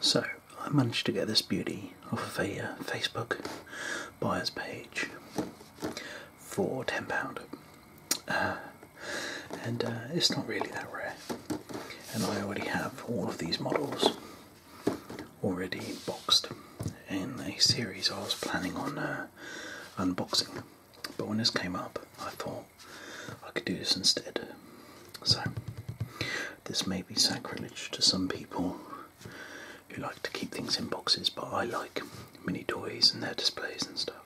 So, I managed to get this beauty off a uh, Facebook buyer's page for £10. Uh, and uh, it's not really that rare. And I already have all of these models already boxed in a series I was planning on unboxing. But when this came up, I thought I could do this instead. So, this may be sacrilege to some people who like to keep things in boxes, but I like mini toys and their displays and stuff.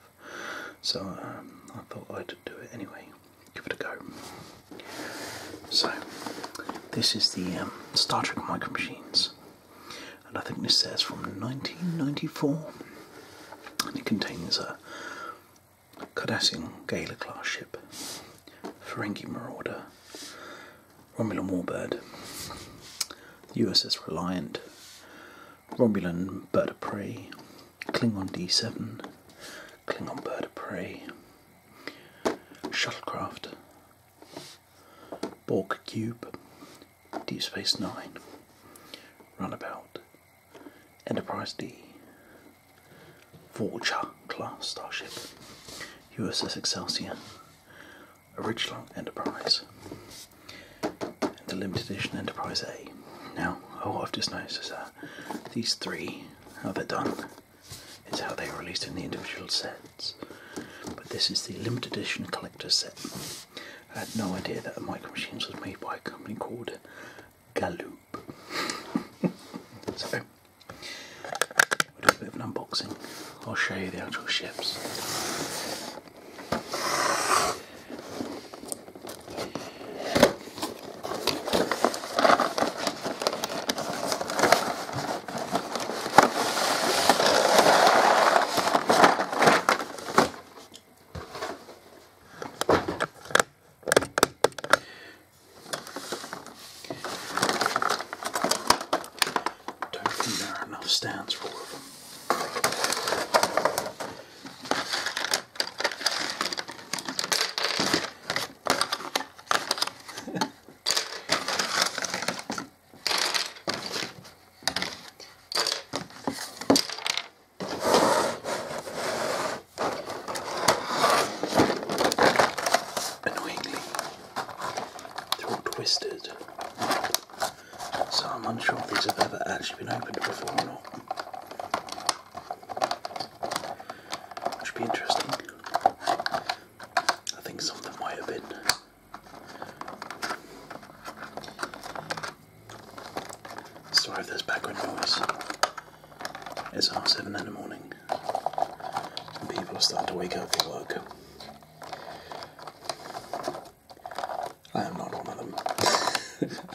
So, um, I thought I'd do it anyway. Give it a go. So, this is the um, Star Trek Micro Machines and I think this says from 1994, and it contains a Cardassian Gala ship, Ferengi Marauder, Romulan Warbird, USS Reliant, Romulan Bird of Prey, Klingon D7, Klingon Bird of Prey, Shuttlecraft, Borg Cube, Deep Space Nine, Runabout, Enterprise D, Vulture class starship, USS Excelsior, original Enterprise, the limited edition Enterprise A. Now, all I've just noticed is that these three, how they're done, is how they are released in the individual set. But this is the limited edition collector set. I had no idea that the micro machines was made by a company called Galloop. so we do a bit of an unboxing. I'll show you the actual ships. Don't think there are enough stands for all of them. Annoyingly, they're all twisted, so I'm unsure if these have ever actually been opened before or not. Which would be interesting. I think something might have been. Sorry if background noise. It's half seven in the morning, and people are starting to wake up for work. I am not one of them.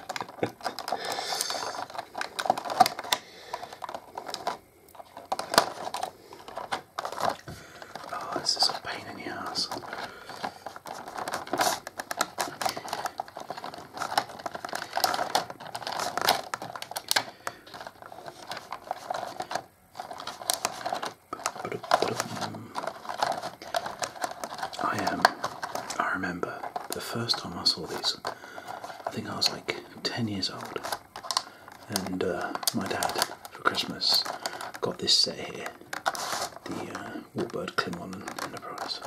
Oh, this is a pain in the ass. Um, I um, I remember the first time I saw these. I think I was like ten years old. And uh, my dad, for Christmas, got this set here the uh, Warbird Klingon Enterprise.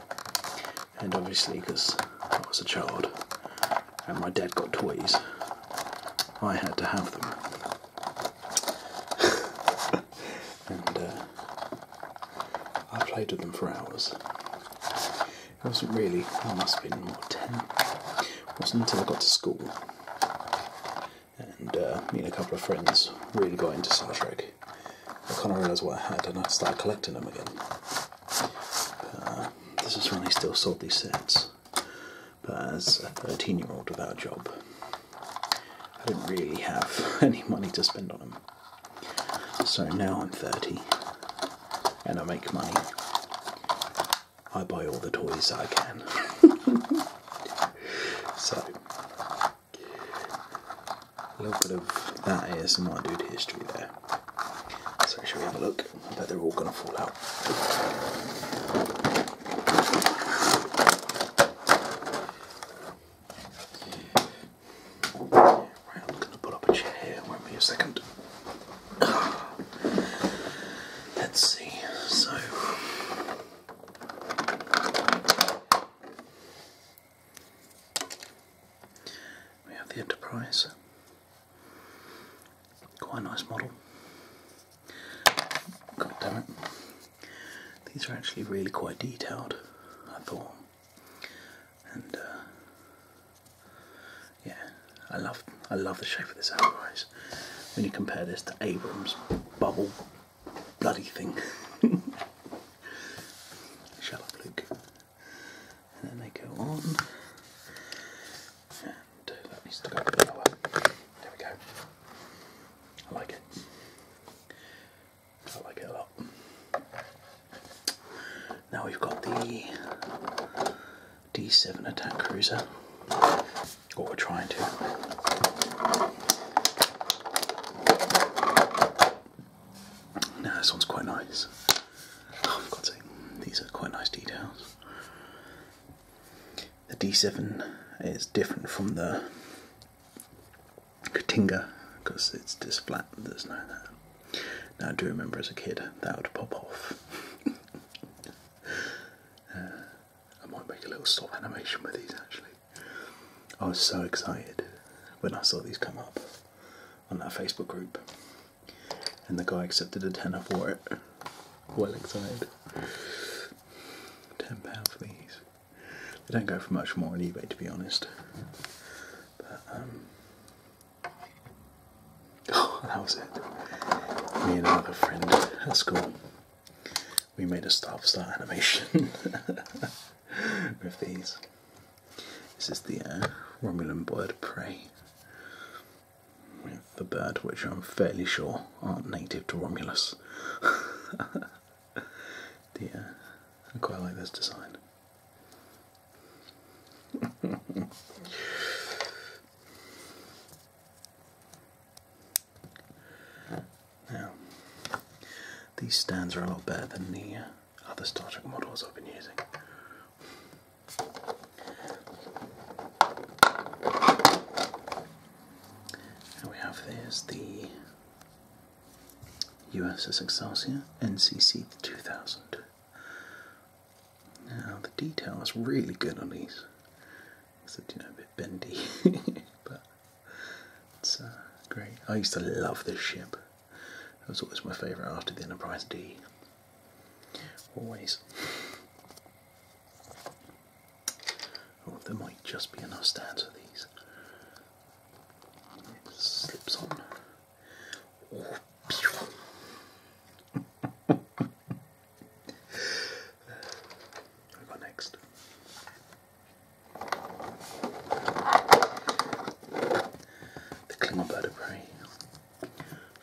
And obviously, because I was a child and my dad got toys, I had to have them. and uh, I played with them for hours. It wasn't really, I must have been more 10. It wasn't until I got to school and uh, me and a couple of friends really got into Star Trek. I kind of realised what I had and I started collecting them again. Uh, this is when I still sold these sets. But as a 13 year old without a job, I didn't really have any money to spend on them. So now I'm 30 and I make money I buy all the toys I can. so, a little bit of that is my dude history there. So, should we have a look? I bet they're all going to fall out. Right, I'm going to put up a chair. Won't be a second. Let's see, so we have the Enterprise, quite nice model. God damn it, these are actually really quite detailed, I thought, and uh, yeah, I love I love the shape of this otherwise. When you compare this to Abrams bubble bloody thing. Shut up, Luke. And then they go on. And that needs to go lower. There we go. I like it. I like it a lot. Now we've got the D7 attack cruiser, what we're trying to. Now this one's quite nice. Oh, these are quite nice details. The D7 is different from the Katinga because it's just flat, there's no now, I do remember as a kid that would pop off. Uh, I might make a little stop animation with these actually. I was so excited when I saw these come up on that Facebook group, and the guy accepted a tenner for it. Well excited. Ten pound for these. They don't go for much more on eBay, to be honest. But um, Oh, that was it. Me and another friend at school, we made a stop start animation with these. This is the uh, Romulan bird prey with the bird, which I'm fairly sure aren't native to Romulus. the, uh, I quite like this design. now, these stands are a lot better than the uh, other Star Trek models I've been using. And we have there's the USS Excelsior NCC 2000. Now the detail is really good on these, except you know a bit bendy, but it's uh, great. I used to love this ship. That was always my favourite after the Enterprise D. Always. Oh, there might just be enough stands for these. It slips on we got next. The Klingon Bird of Prey.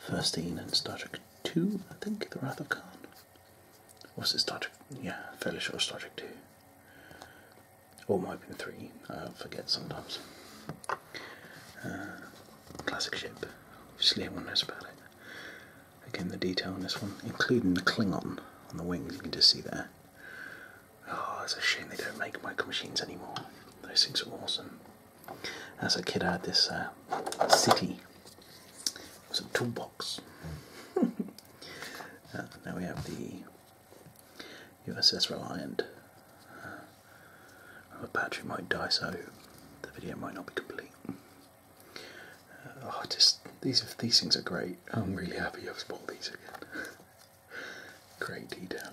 First seen in Star Trek 2, I think, The Wrath of Khan. Was it Star Trek? Yeah, fairly sure Star Trek 2 or might have three, uh, I forget sometimes. Uh, classic ship, obviously everyone knows about it. Again, the detail on this one, including the Klingon on the wings, you can just see there. Oh, it's a shame they don't make micro machines anymore. Those things are awesome. As a kid, I had this uh, city. It was a toolbox. now we have the USS Reliant. Uh, my battery might die, so the video might not be complete. Uh, oh, just these these things are great. I'm really happy I've bought these again. great detail.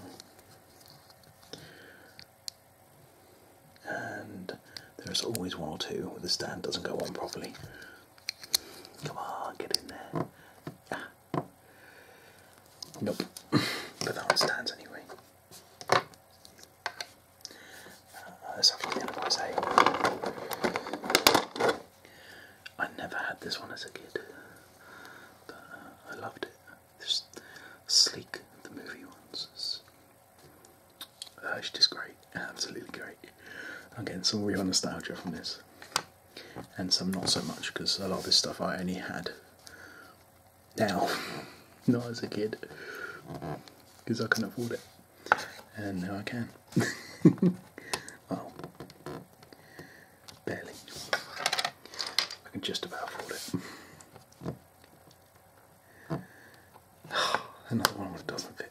And there's always one or two where the stand doesn't go on properly. Come on, get in there. Nope. but that one stands anyway. Uh, let's have a look at I never had this one as a kid. But, uh, I loved it. Just sleek, the movie ones. It's, uh, just great. Absolutely great. Again, some real nostalgia from this and some not so much because a lot of this stuff I only had now, not as a kid, because I couldn't afford it, and now I can. well, barely. I can just about afford it. Another one that doesn't fit.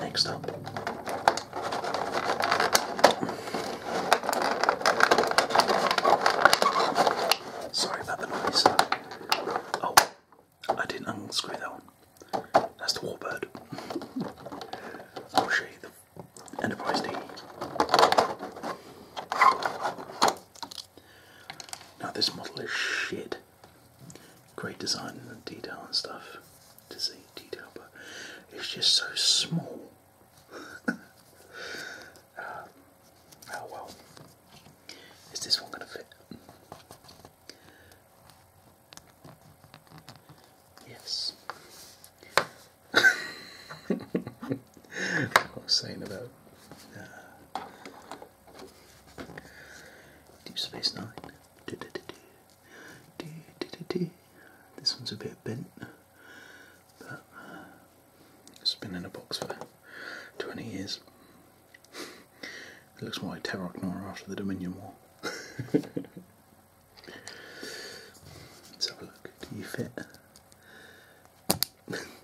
Next up, sorry about the noise. Oh, I didn't unscrew that one. That's the Warbird. I'll show you the Enterprise D. Now, this model is shit great design and detail and stuff to see detail, but it's just so small. Um, oh well, is this one going to fit? Yes. I was saying about. Uh, Deep Space Nine. This one's a bit bent, uh, it's been in a box for 20 years. It looks more like Terrorgnor after the Dominion War. Let's have a look. Do you fit?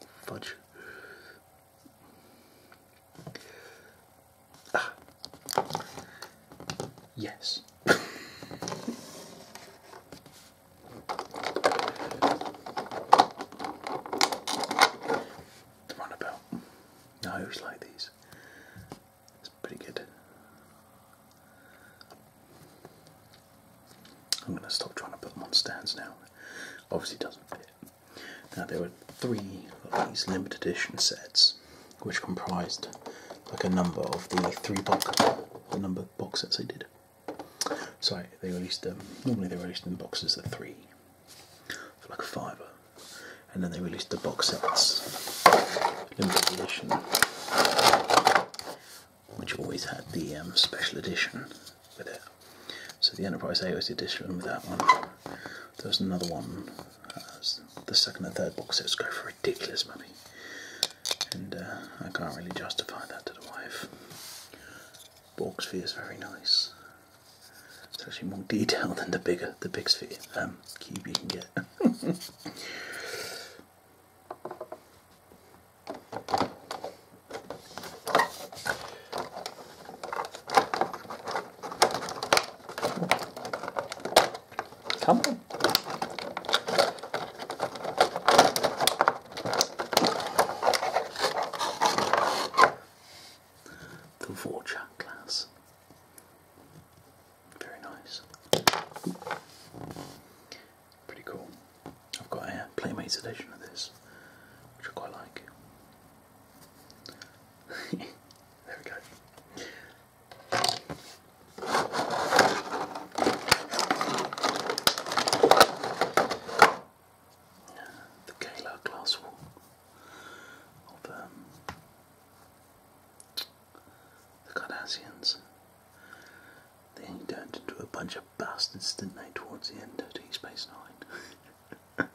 Fudge. Ah. Yes. the runabout. No, I like these. It's pretty good. I'm going to stop trying to put them on stands now. Obviously, doesn't fit. Now there were three of these limited edition sets, which comprised like a number of the three box the number box sets they did. So they released them. Um, normally they released them in boxes of three, for like a fiver, and then they released the box sets limited edition, which always had the um, special edition with it. So the Enterprise AOS edition with that one. There was another one. the second and third box sets go for ridiculous money, and uh, I can't really justify that to the wife. Borg Sphere is very nice. It's actually more detailed than the bigger, the big sphere um, cube you can get. Come on. The Vorcha class. Very nice. Pretty cool. I've got a Playmates edition of this, which I quite like. there we go. The Gala glass wall of um, the Cardassians. They turned into a bunch of bastards, didn't towards the end of Deep Space Nine?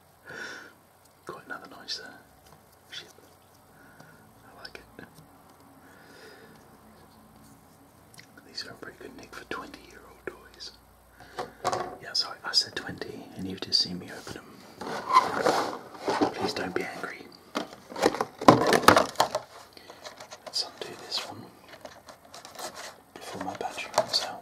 Quite another nice uh, ship. I like it. These are a pretty good nick for 20 year old toys. Yeah, I said 20 and you've just seen me open them. Please don't be angry. Let's undo this one before my battery runs out.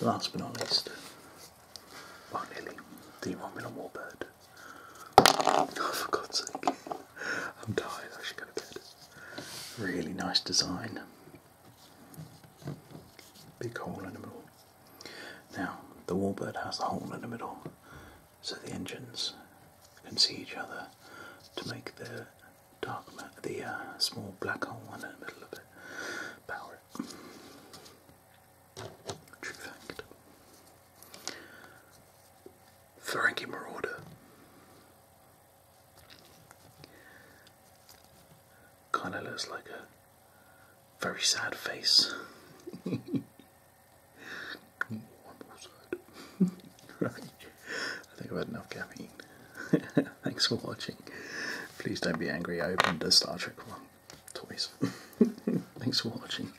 Last but not least, finally, the Romulan Warbird. Oh, for God's sake. I'm tired, I should go to bed. Really nice design. Big hole in the middle. Now, the Warbird has a hole in the middle so the engines can see each other to make the dark the uh, small black hole in the middle of it. Power it. True fact. Frankie Marauder. Kind of looks like a very sad face. right. I think I've had enough caffeine. Thanks for watching. Please don't be angry. I opened a Star Trek one. twice. Thanks for watching.